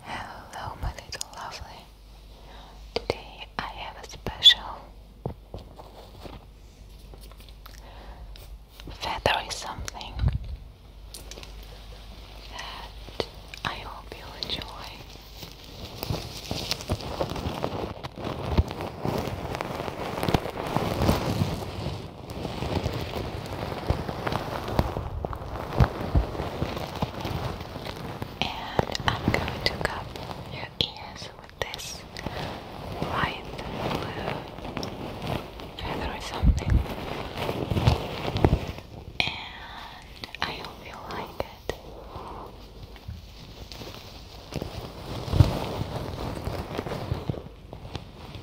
Hello, my little lovely. Today I have a special feathery something that I hope you'll enjoy. And I'm going to cover your ears with this light feather or something. And I hope you like it.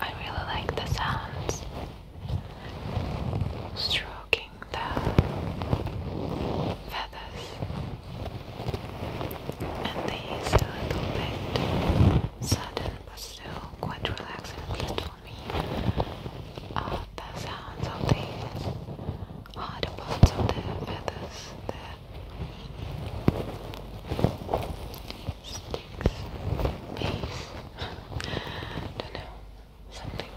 I really like the sounds stroking the feathers and these a little bit sudden but still quite relaxing for me are the sounds of the hard parts of the feathers, the sticks, base, don't know, something.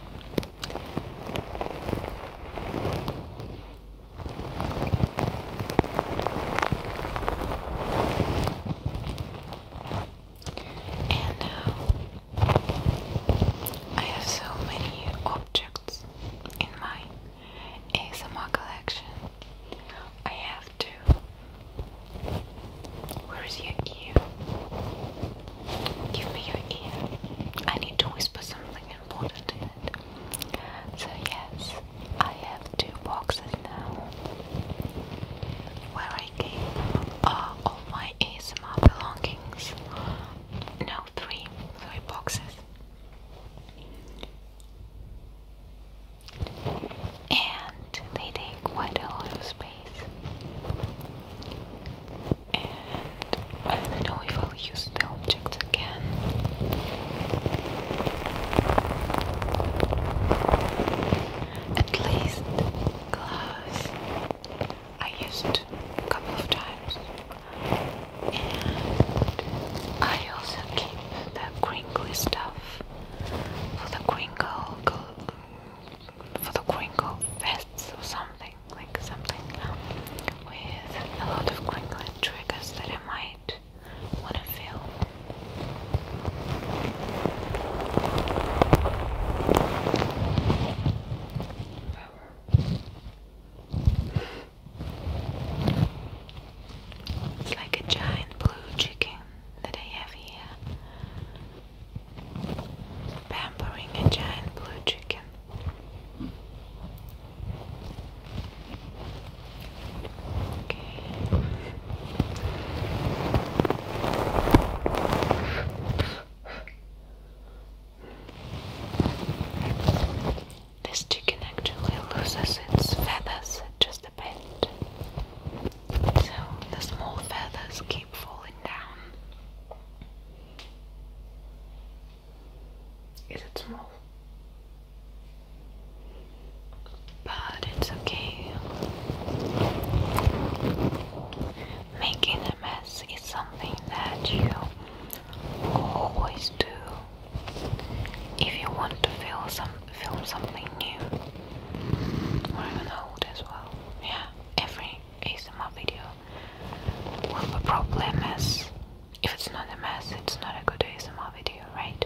And now uh, I have so many objects in my ASMR collection. I have to. Where is your ear? Give me your ear. I need to whisper something important in it. So, yes, I have two boxes now where I uh, all my ASMR belongings. No, three, three boxes. And they take quite a lot of space. And I don't know if I'll use the object again at least gloves. I used a couple of times, and I also keep the crinkly stuff for the crinkle for the crinkle vests or something like something with a lot of crinkling triggers that I might want to film. It's like a giant blue chicken that I have here. Pampering a giant blue chicken. This chicken actually loses its feathers just a bit, so the small feathers keep falling down. Is it small? but it's okay. Making a mess is something that you always do. If you want to film some film something new, or even old as well, yeah, every ASMR video will be probably problem. mess. If it's not a mess, it's not a good ASMR video, right?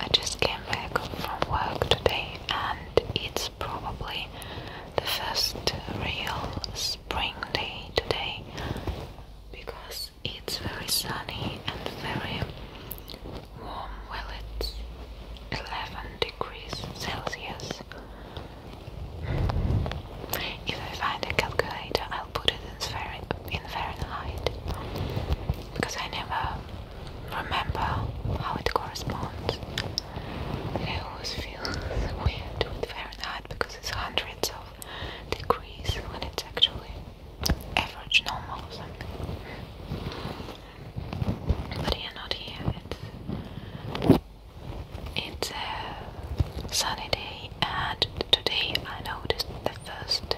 I just came back from work today, and it's probably the first real spring day today because it's very sunny and very warm. Well, it's 11 degrees Celsius. If I find a calculator, I'll put it in, Fahrenheit because I never remember how it corresponds. And I always feel weird with Fahrenheit because it's hundreds of degrees when it's actually average normal or something. But not here. It's a sunny day, and today I noticed the first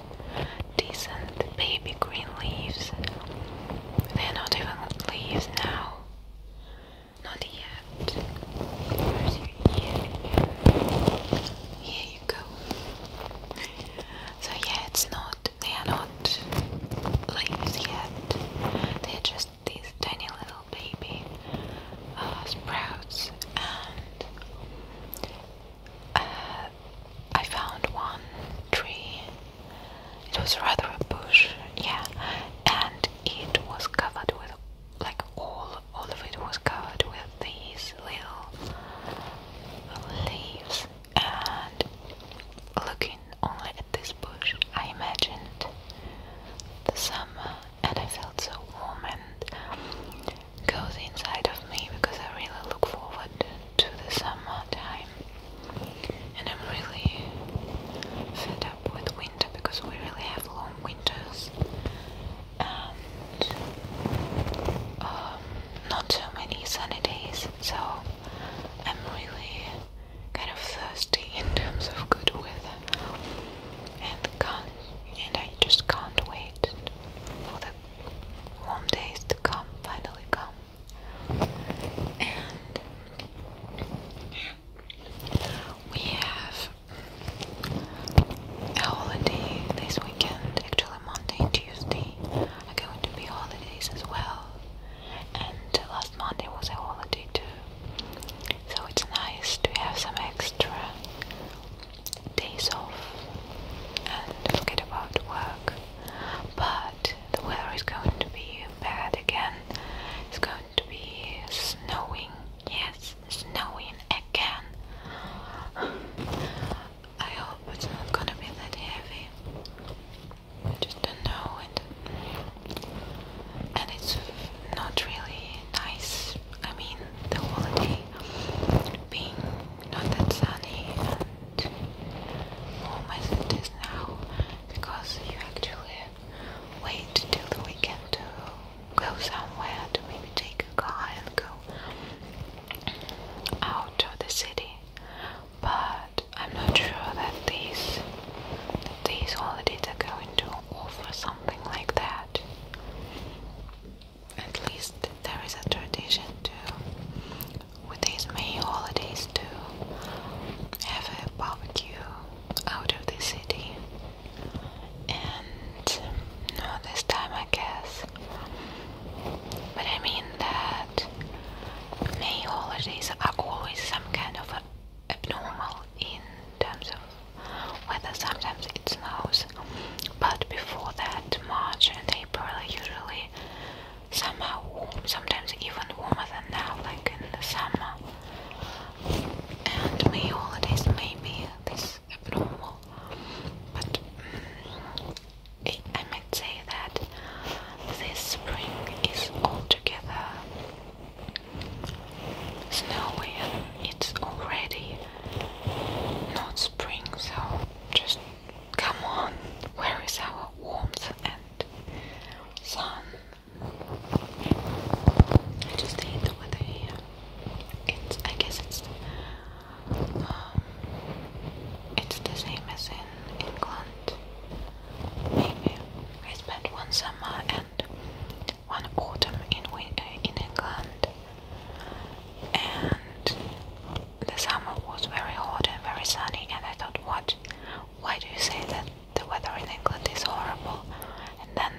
decent baby green leaves. They're not even leaves now. Not yet. Here you go. So yeah, it's not. They are not leaves yet. they just these tiny little baby uh, sprouts, and uh, I found one tree. It was rather a bush, yeah, and it was covered with like all all of it was covered with these little leaves and looking only at this bush, I imagined the summer, and I felt so warm and cozy inside of me because I really look forward to the summer time. And I'm really fed up with winter because we really have long winters and um, not so many sunny days. So I'm really kind of thirsty in terms of good weather, and can't, and I just can't wait for the warm days to come, finally come. And we have a holiday this weekend, actually Monday Tuesday are going to be holidays as well and last Monday was a holiday too. So it's nice to have some extra days off and forget about work. But the weather is going to be bad again. It's going to be snowing. Yes, snowing again. I hope it's not gonna be that heavy just don't know it. And it's not really nice. I mean, the holiday being not that sunny and warm as it is now, because you actually wait till the weekend to go somewhere to maybe take a car and go out of the city. But I'm not sure that these these holidays are going to offer something like that. At least there is a tradition to with these May holidays to have a barbecue out of the city. And not this time, I guess. But I mean that May holidays are always some kind of a abnormal in terms of weather. Sometimes it snows, but before that, March and April are usually somehow warm, sometimes even warmer than now, like in the summer. And May holidays maybe be this abnormal, but mm, I might say that this spring is altogether snowy and it's already not spring, so just come on, where is our warmth and sun? I just hate the weather here. It's, I guess it's um, it's the same as in England maybe. I spent one summer and one autumn in uh, in England, and the summer was very hot and very sunny. And I thought, what? Why do you say that the weather in England is horrible? And then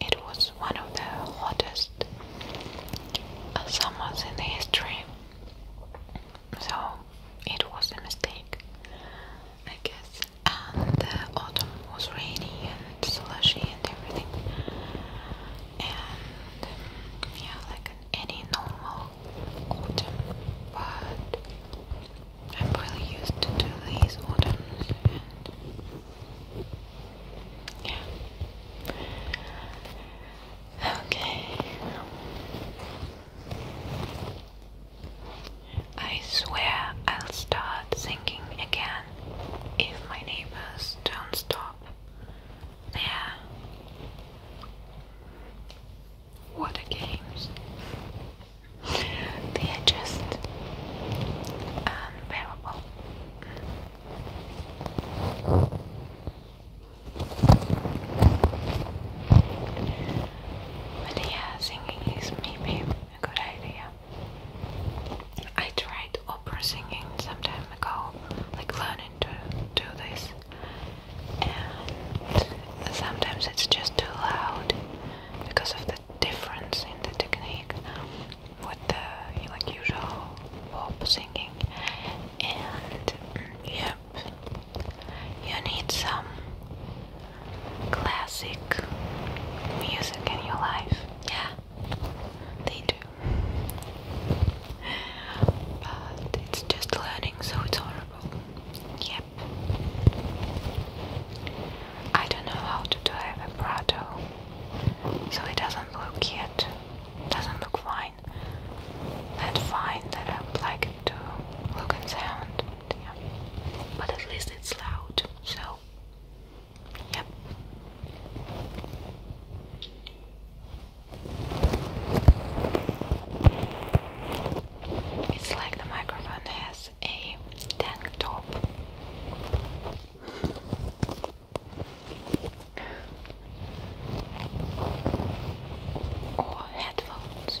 it was one of the hottest uh, summers in the history. So it was a mistake, I guess and the autumn was rainy and slushy and everything and yeah like any normal autumn but I'm really used to these autumns yeah okay I swear I'll start singing again if my neighbors don't stop. Yeah. What a games. They are just unbearable. But yeah, singing is maybe a good idea. I tried opera singing some time ago, like learning to do this, and sometimes it's just too loud because of the difference in the technique with the like usual pop singing, and mm, yeah, you need some classic music in your life. Yeah, they do. But it's just learning, so it's horrible. Yep. I don't know how to do vibrato, so it doesn't look yet. Doesn't look fine. That fine that I like to look and sound. But at least it's loud, so yep. It's like the microphone has a tank top. Or headphones.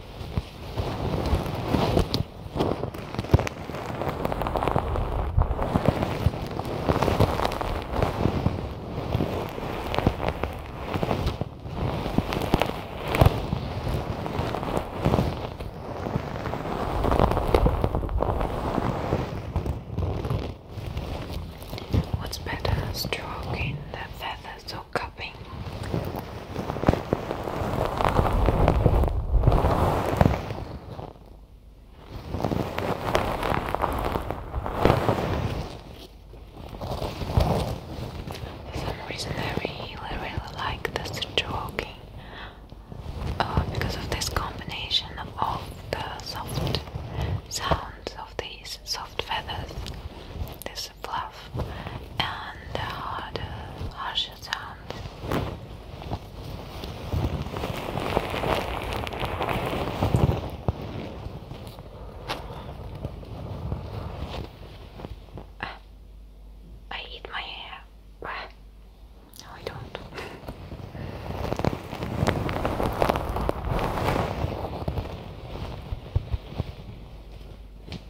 What's better, stroking the feathers also For some reason, I really, really like the stroking uh, because of this combination of the soft sounds of these soft feathers fluff and uh, the harsher sound. I eat my hair. no, I don't.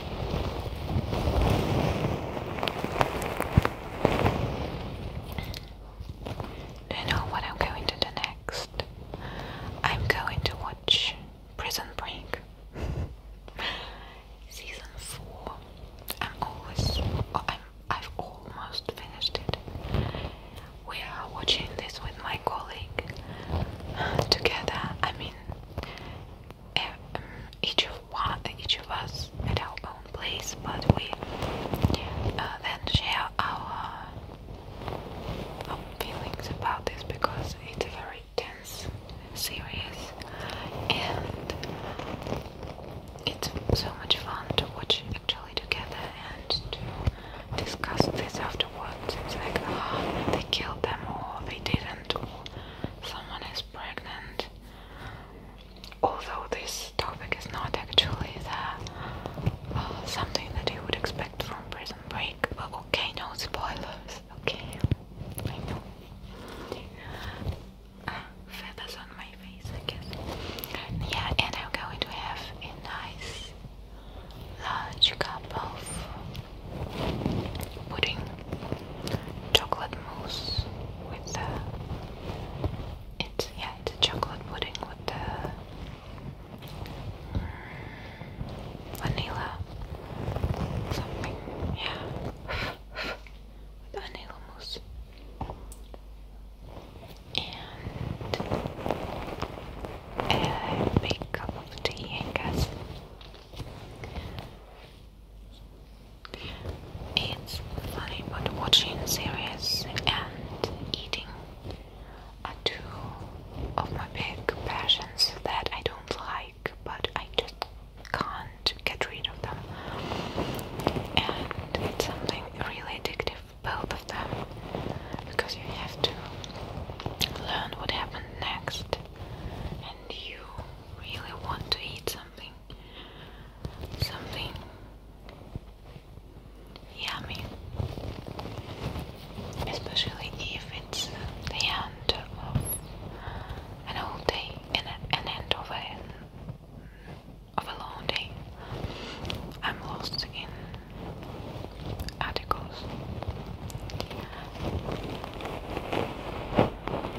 Do you know what I'm going to do next? I'm going to watch Prison Break Season 4. I'm always, oh, I'm, I've almost finished it. We are watching this with my colleague together. I mean, Eh, each of one, each of us at our own place, but we uh, then share uh, our, feelings about this because it's very tense serious, and it's so much fun to watch actually together and to discuss this afterwards. It's like, ah, they killed them or they didn't, someone is pregnant. Although this topic is not actually the, uh, something that you would expect from Prison Break, but okay, no spoilers, okay? I know. Uh, feathers on my face, I guess. Yeah, and I'm going to have a nice large cup of pudding, chocolate mousse with the it's yeah it's chocolate pudding with the mm, vanilla something yeah with vanilla mousse and a uh, big cup of tea I guess. It's funny, but watching series and eating are two of my big passions that I don't like, but I just can't get rid of them. And it's something really addictive, both of them, because you have to learn what happened next, and you really want to eat something something yummy especially if it's the end of an old day an end of a long day I'm lost in articles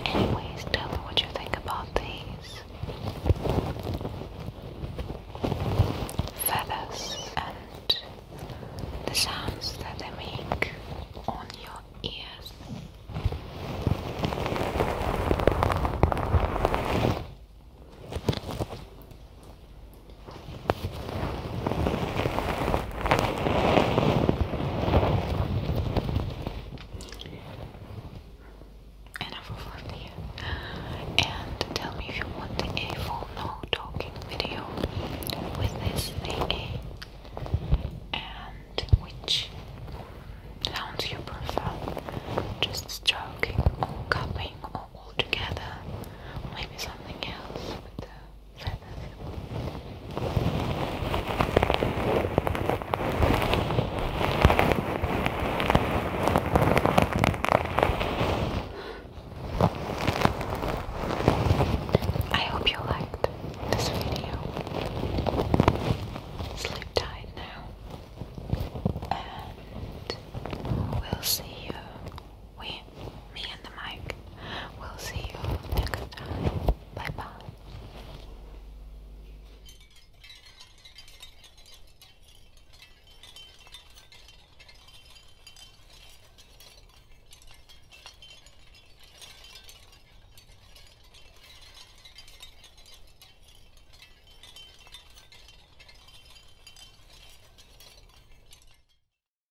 Anyways, tell me what you think about these feathers and the sounds that they make on your ears. Enough of laughing. And tell me if you want a full no talking video with this AA and which sounds you prefer. Just stroking cupping all together. Maybe something else with the I hope you liked this video. Sleep tight now, and we'll see you we, me and the mic, will see you next time. Bye bye.